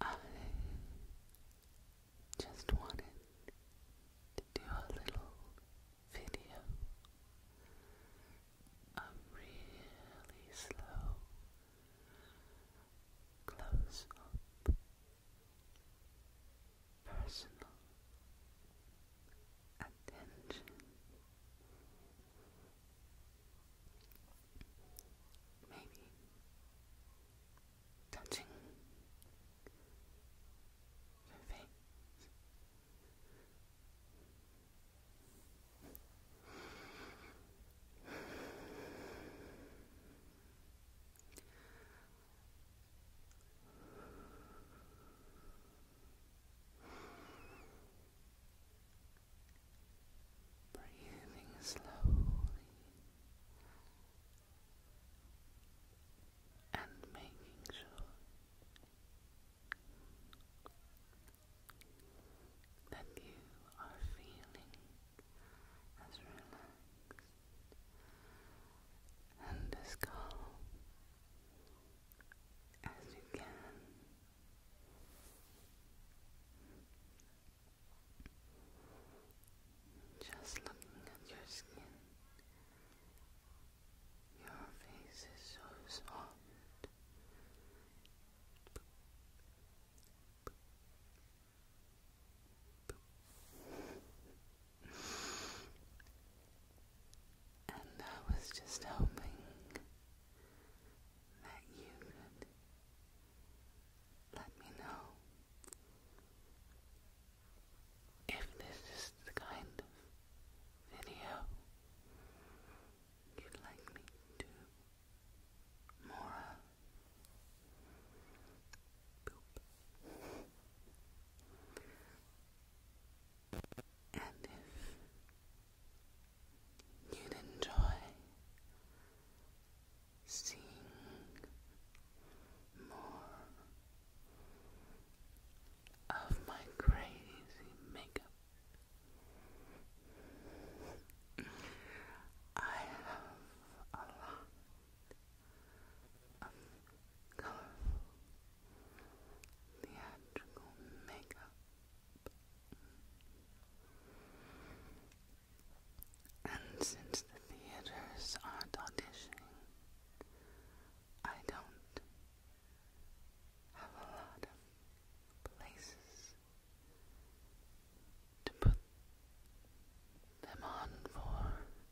I just wanted to do a little video of really slow close up personal attention. Maybe touching your face. Breathing slowly and making sure that you are feeling as relaxed and as calm as you can. Just looking at your skin, your face is so soft. And I was just hoping that you could let me know if this is the kind of video you'd like me to do more Boop. And if you'd enjoy seeing more of my crazy makeup. I have a lot of colorful um, theatrical makeup. And since the theaters are auditioning, I don't have a lot of places to put them on for.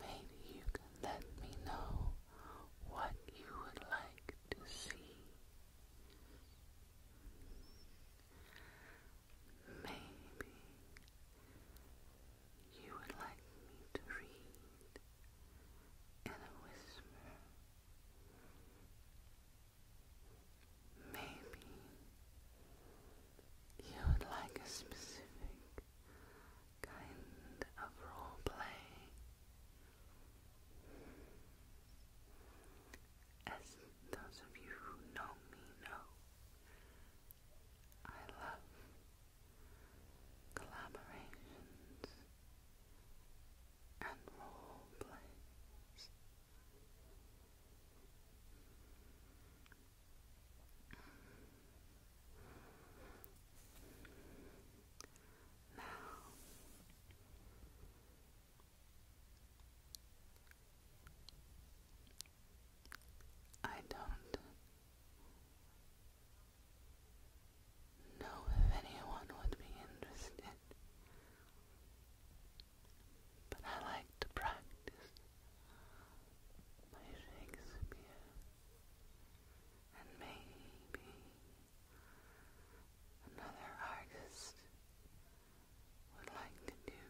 Maybe you can let me know what you would like to see. Maybe you would like me to read in a whisper. Maybe you would like a specific kind of role play as those of you who know me know I love collaborations and role plays now, I don't know if anyone would be interested but I like to practice my Shakespeare and maybe another artist would like to do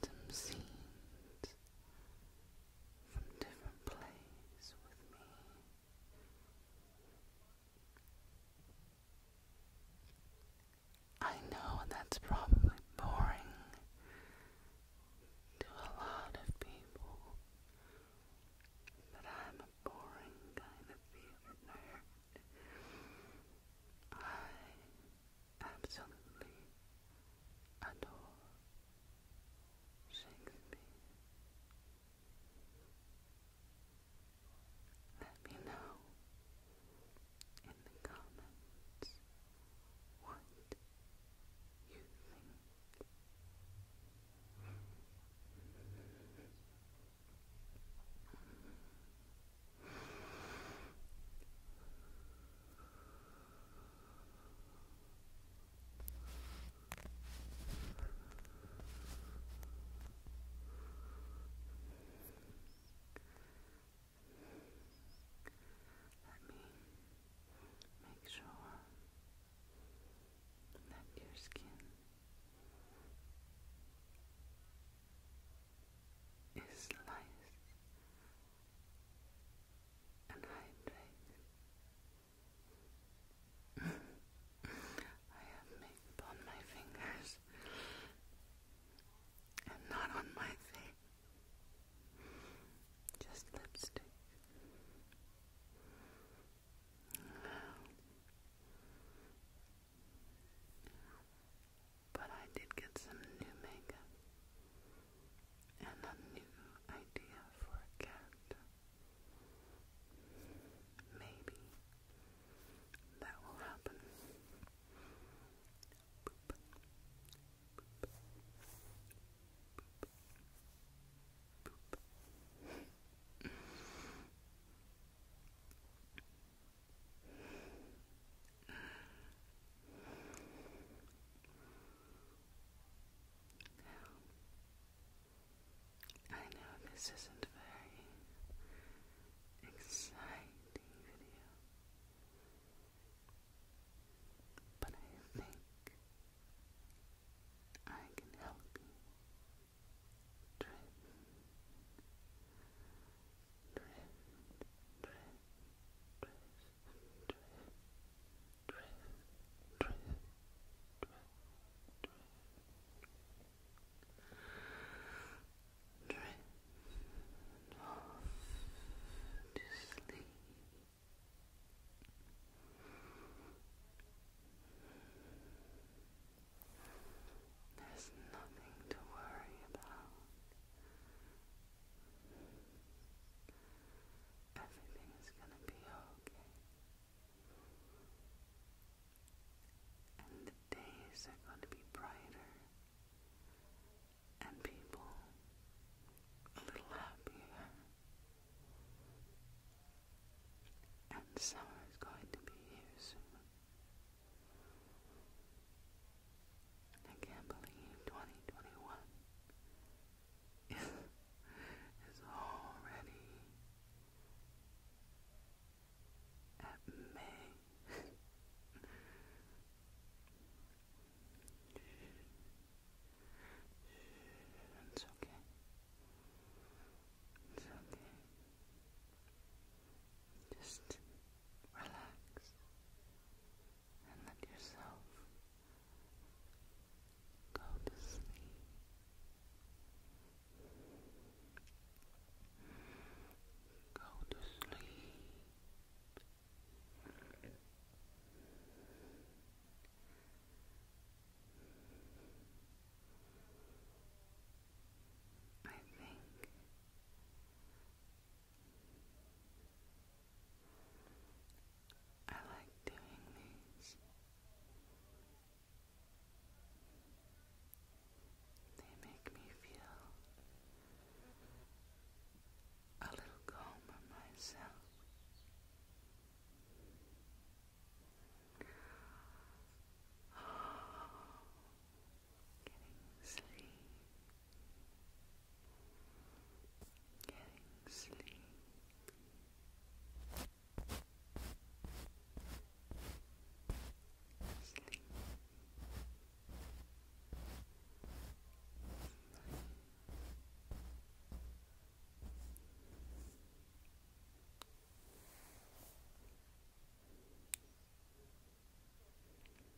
some scenes from different plays with me. I know that's probably boring to a lot of people, but I'm a boring kind of theater I absolutely adore Shakespeare. Let me know in the comments what you think. Let me make sure that your skin is nice and hydrated. I have makeup on my fingers and not on my face. Just lipstick. But I did get some new makeup and a new idea for a character. Maybe that will happen. Boop. Boop. Boop. Boop. Now, I know this isn't very exciting but I think I can help you drift, drift, drift, off to sleep. There's nothing to worry about. Everything is gonna be okay. And the days are going to be brighter and people a little happier. And summer is going to be here soon. I can't believe 2021 is already at me. It's okay. It's okay. Just Relax and let yourself go to sleep. Go to sleep. I think I like doing these. They make me feel a little calmer myself. Getting sleepy getting sleepy. Sleep.